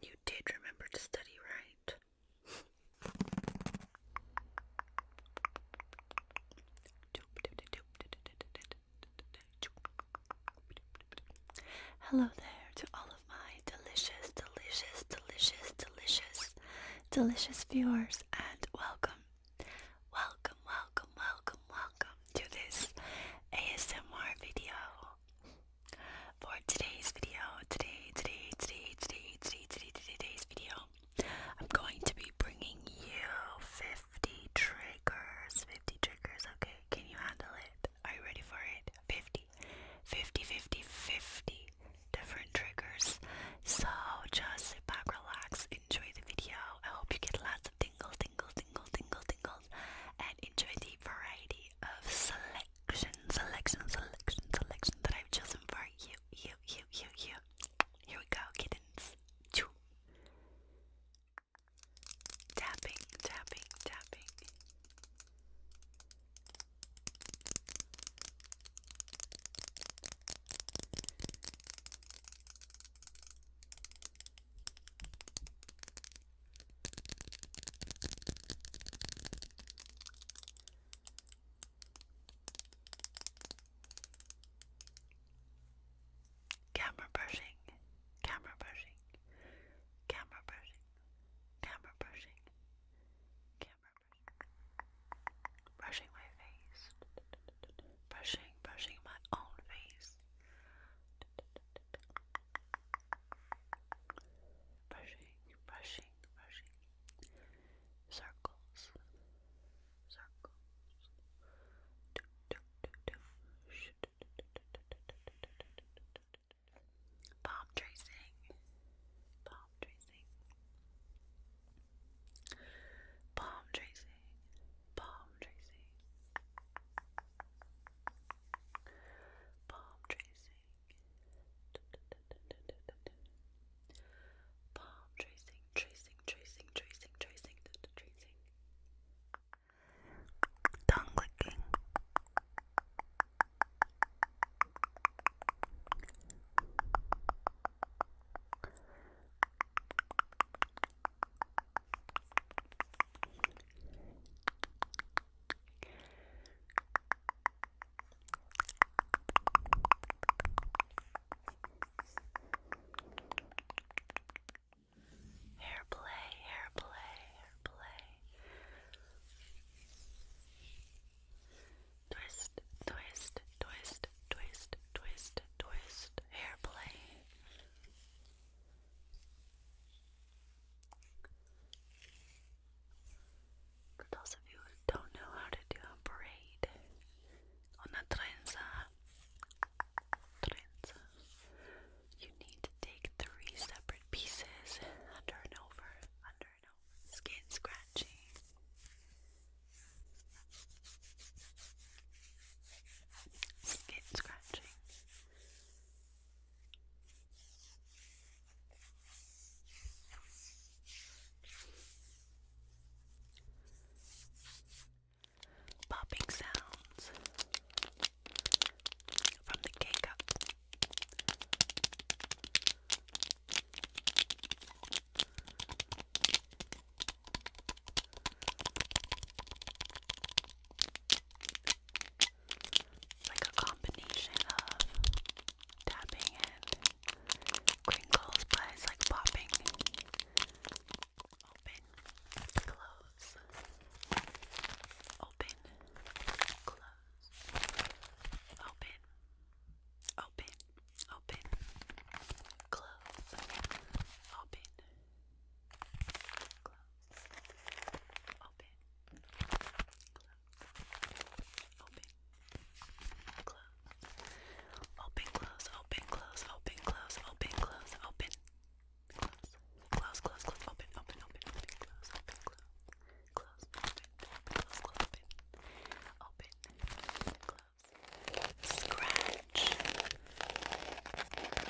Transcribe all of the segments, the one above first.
You did remember to study, right? Hello there to all of my delicious, delicious, delicious, delicious, delicious viewers, and welcome, welcome, welcome, welcome, welcome to this ASMR video. For today's video, today, today, today, today, today, today, today's video, I'm going to be bringing you 50 triggers. 50 triggers, okay? Can you handle it? Are you ready for it? 50, 50, 50, 50 different triggers. So just sit back, relax, enjoy the video. I hope you get lots of tingle, tingle, tingle, tingle, tingle articles and enjoy the variety of selection, selection, selection, selection that I've chosen for you, you, you, you, you. Here we go, kittens. Tapping, tapping, tapping. Camera brushing, camera brushing, camera brushing, camera brushing, camera brushing, brushing my face, brushing, brushing my own face brushing, brushing, brushing, circles, circles, do, do, do, do. Sh palm tracing, palm tracing, palm tracing, palm tracing palm tracing, palm tracing, tracing, tracing, tracing, tracing, tracing, tongue licking. Palm Hair play, hair play, hair play. Twist, twist, twist, twist, twist, twist, hair play. For those of you who don't know how to do a braid, una trenza, trenza, you need to take three separate pieces under and over, under and over, skin scratching. Skin scratching. Popping sounds from the K cup like a combination of tapping and crinkles, but it's like popping open, close, open, close, open, open, open, close, open. Close. Open. Close. Open. Close. Open, close, open, close, open, close, open, close, open. Close. Close, close, close, open, open, open, open, close, open, close. Close, open, open, close, close, open. Open. Close. Scratch.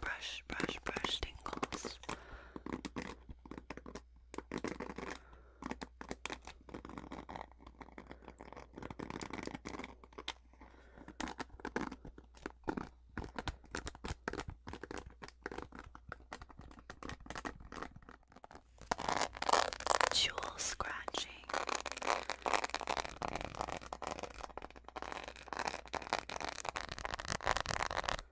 brush, brush, brush tingles. Jewel scratching.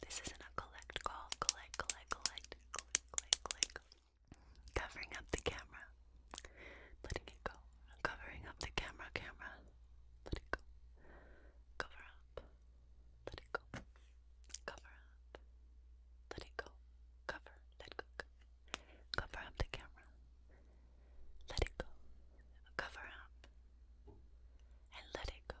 This isn't a collect call. Collect, collect, collect, collect, collect, collect. Covering up the camera. Letting it go. Covering up the camera, camera. Let it go. Cover up. Let it go. Cover up. Let it go. Cover. Let go. Cover up the camera. Let it go. Cover up. And let it go.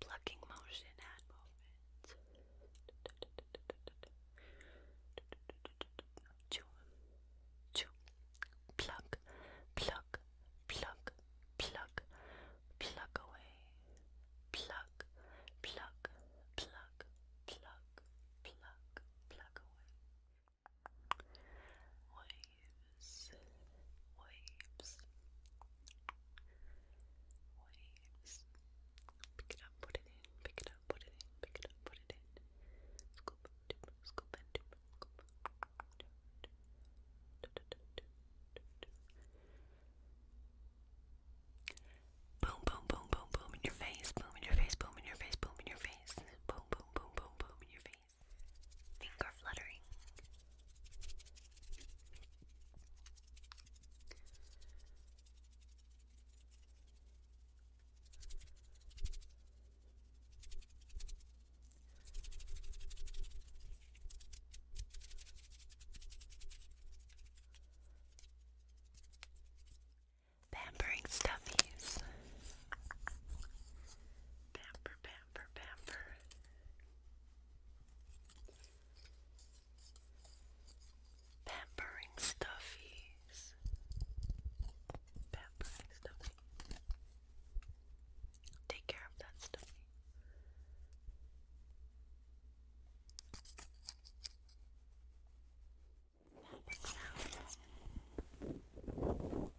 Plucking motion and movement. Chew, chew, pluck, pluck, pluck, pluck, pluck away. Pluck, pluck, pluck, pluck, pluck, pluck away waves, waves, waves. Pick it up, put it in, pick it up, put it in, pick it up, put it in. Scoop, dip, scoop and dip, scoop. Boom, boom, boom, boom, boom in your face, boom in your face, boom in your face, boom in your face, boom, boom, boom, boom, boom in your face finger fluttering. Pampering stuffies. Pamper, pamper, pamper, pamper. Pampering stuffies. Pampering stuffy. Take care of that stuffy. Pampering sounds.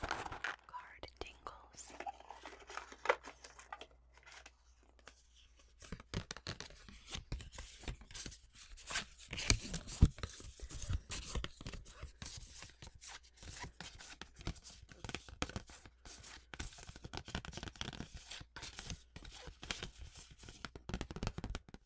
card tingles.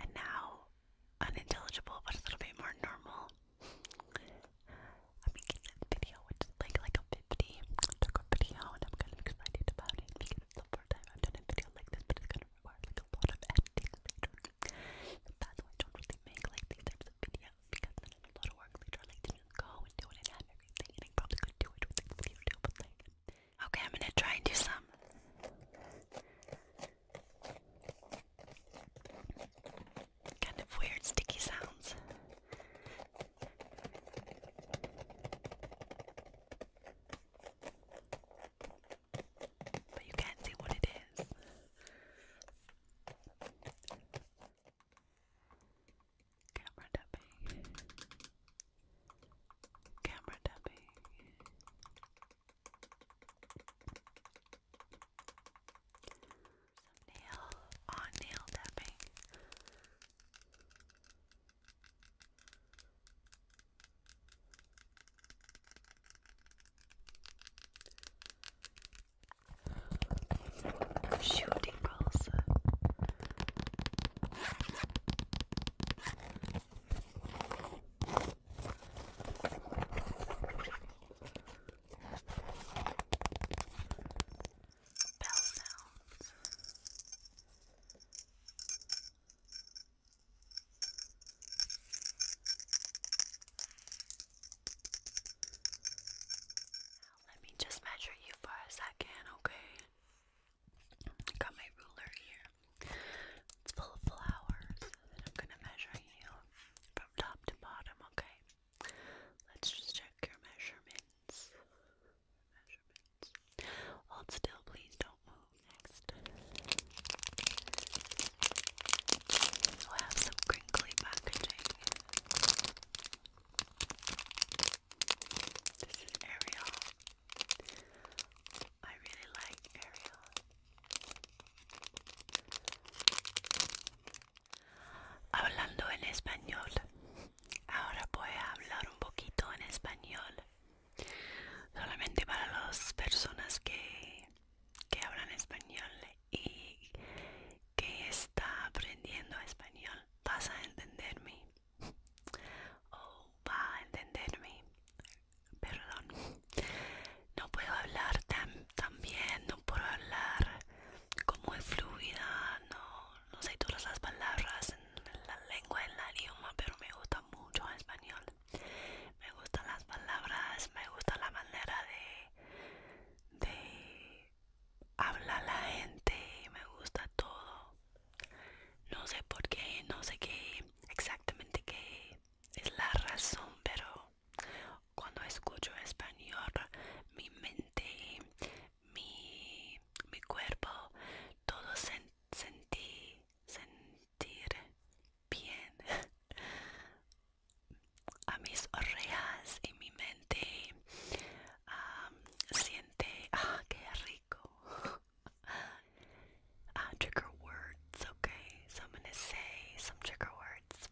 And now, unintelligible, but a little bit more normal. I'm making this video, which is like like a 50 took and I'm kind of excited about it because it's the first time I've a video like this, it's gonna require like a lot of editing That's why I don't really make like these types of videos because then it's a lot of work later. I like to go and do it and everything, and probably could do it with like YouTube, but like, okay, I'm gonna try and do some. Kind of weird, sticky sounds. But you can't see what it is. Camera tapping. Camera tapping. nail on oh, nail tapping shooting also. Bell sounds. Let me just measure you for a second, okay? Got my ruler here. It's full of flowers. I'm gonna measure you from top to bottom, okay? Let's just check your measurements. Measurements. Hold still, please don't move. Next. We'll have some crinkly packaging. This is Ariel. I really Ariel. Hablando en español. Ahora voy a hablar un poquito en español. Solamente para las personas que, que hablan español y que está aprendiendo español vas a entenderme o va a entenderme perdón no puedo hablar tan, tan bien no puedo hablar como es fluida no, no sé todas las palabras en la lengua en el idioma pero me gusta mucho español me gustan las palabras me gusta la manera de de habla la gente me gusta todo. No sé por qué, no sé qué exactamente qué es la razón, pero cuando escucho español, mi mente, mi, cuerpo, todo se sentí, sentir bien. a mis orreas y mi mente um, siente ah qué rico uh, trigger words okay so I'm gonna say some trigger words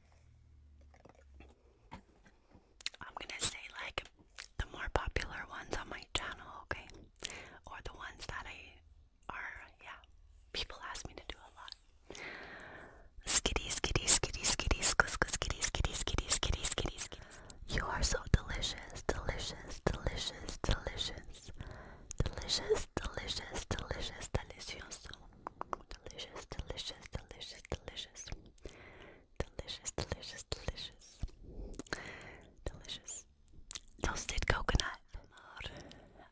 I'm gonna say like the more popular ones on my channel okay or the ones that I are yeah people ask me to do a lot lot. Skitty, skitty, skitty, skitty, skitty, skitty, skitty, skitty, skitty, skitty, skitty. You are so delicious, delicious, delicious, delicious, delicious, delicious, delicious, delicioso, delicious, delicious, delicious, delicious, delicious, delicious, delicious, delicious. Toasted coconut.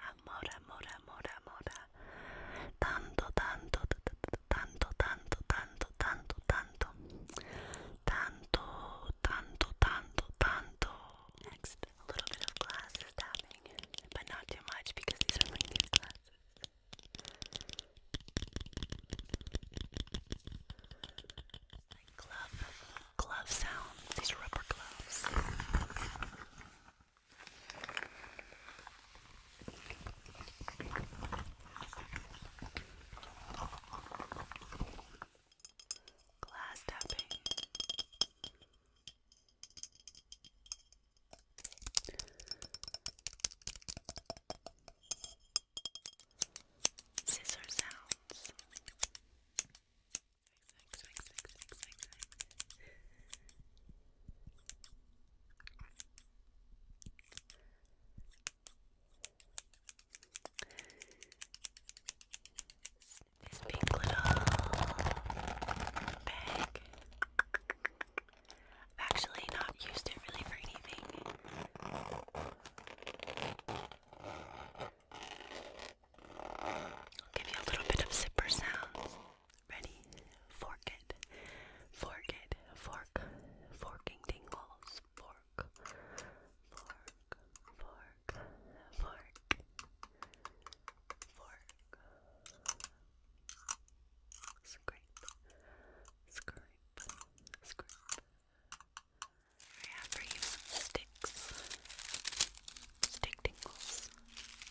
Amor, amor, amor, amor, amor tanto tanto tanto tanto tanto tanto tanto tanto tanto tanto tanto next a little bit of glasses tapping but not too much because these are my new glasses glove glove sounds these rubber gloves Glass tapping. Scissor sounds. Swing, swing, swing, swing, swing, swing. This big little bag. I've actually not used it really for anything. I'll give you a little bit of zipper sounds. Ready? Fork it. Fork it. Fork. Forking tingles. Fork. Fork. Fork. Fork. Fork. Scrape. Scrape. Scrape. I have for you sticks. Stick tingles.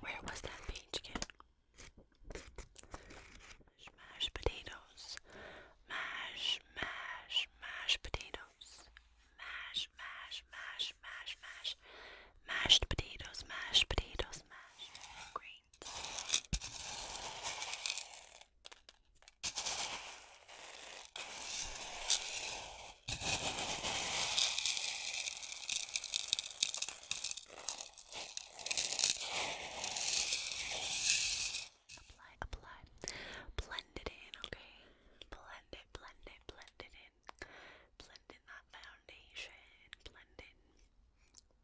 where was that page again? Mash, potatoes. Mash, mash, mash potatoes. Mash, mash, mash, mash, mash. Mashed potatoes, mashed potatoes, lines. Apply, apply. Blend it in, okay? Blend it, blend it, blend it in. Blend in that foundation. Blend in.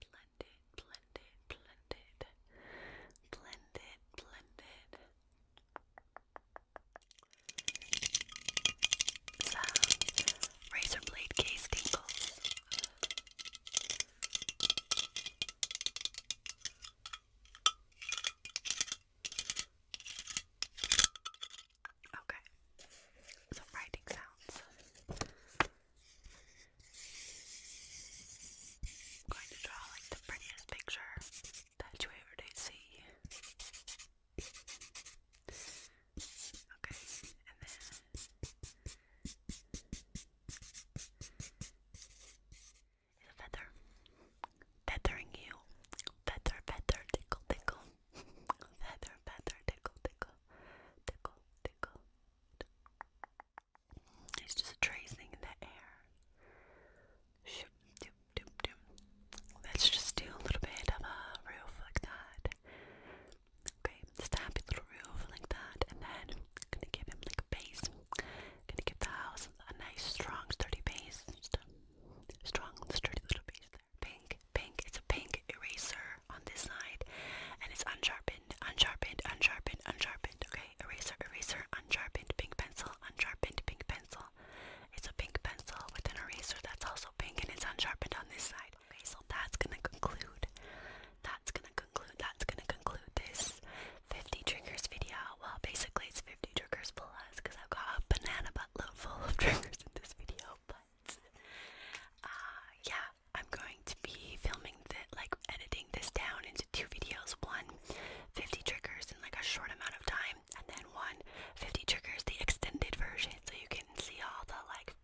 Blend blended, blended, blended, blended, blended some razor blade case tingles. Okay, some writing sounds. I'm going to draw like the prettiest picture that you ever did see. Okay, and then feather. Feathering you. Feather, feather, tickle, tickle. feather, feather, tickle, tickle. Tickle, tickle. It's just a tracing in the air. Let's just do a little bit of a roof like that. Okay, just a little roof like that, and then gonna give him like a base. gonna give the house a nice, strong, sturdy base. strong, sturdy little base there. Pink, pink. It's a pink eraser on this side and it's unsharpened, unsharpened, unsharpened, unsharpened. Okay, eraser, eraser, unsharpened, pink pencil, unsharpened, pink pencil. It's a pink pencil with an eraser that's also pink and it's unsharpened on this side. Okay, so that's gonna conclude. That's gonna conclude. That's gonna conclude this 50 triggers video. Well, basically it's 50 triggers plus because I've got a banana buttload full of triggers in this video. But uh, yeah, I'm going to be filming the like editing this down into two videos, one 50 triggers in like a short amount of time, and then one 50 triggers, the extended version, so you can see all the like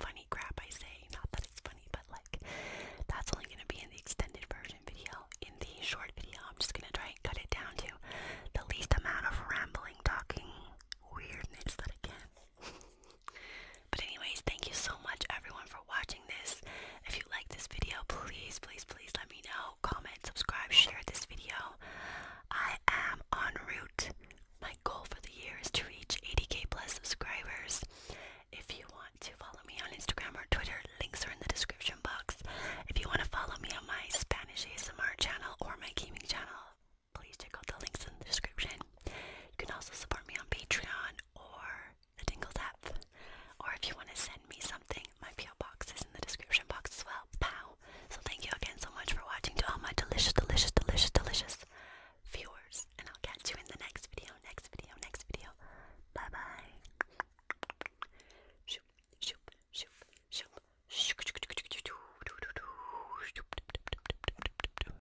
funny crap I say. Not that it's funny, but like that's only gonna be in the extended version video. In the short video, I'm just gonna try and cut it down to the least amount of rambling, talking weirdness that I can. But anyways, thank you so much everyone for watching this. If you like this video, please, please, please let me know. Comment, subscribe, share this video. I am en route. My goal for the year is to reach 80k plus subscribers. If you want to follow me on Instagram or Twitter, links are in the description box. If you want to follow me on my Spanish ASMR channel or my gaming channel, please check out the links in the description. You can also support me on Patreon or the Dingles app. Or if you want to send me something, my PO box is in the description box as well. Pow! So thank you again so much for watching to all my delicious, delicious, delicious, delicious viewers. And I'll catch you in the next video, next video, next video. Bye bye.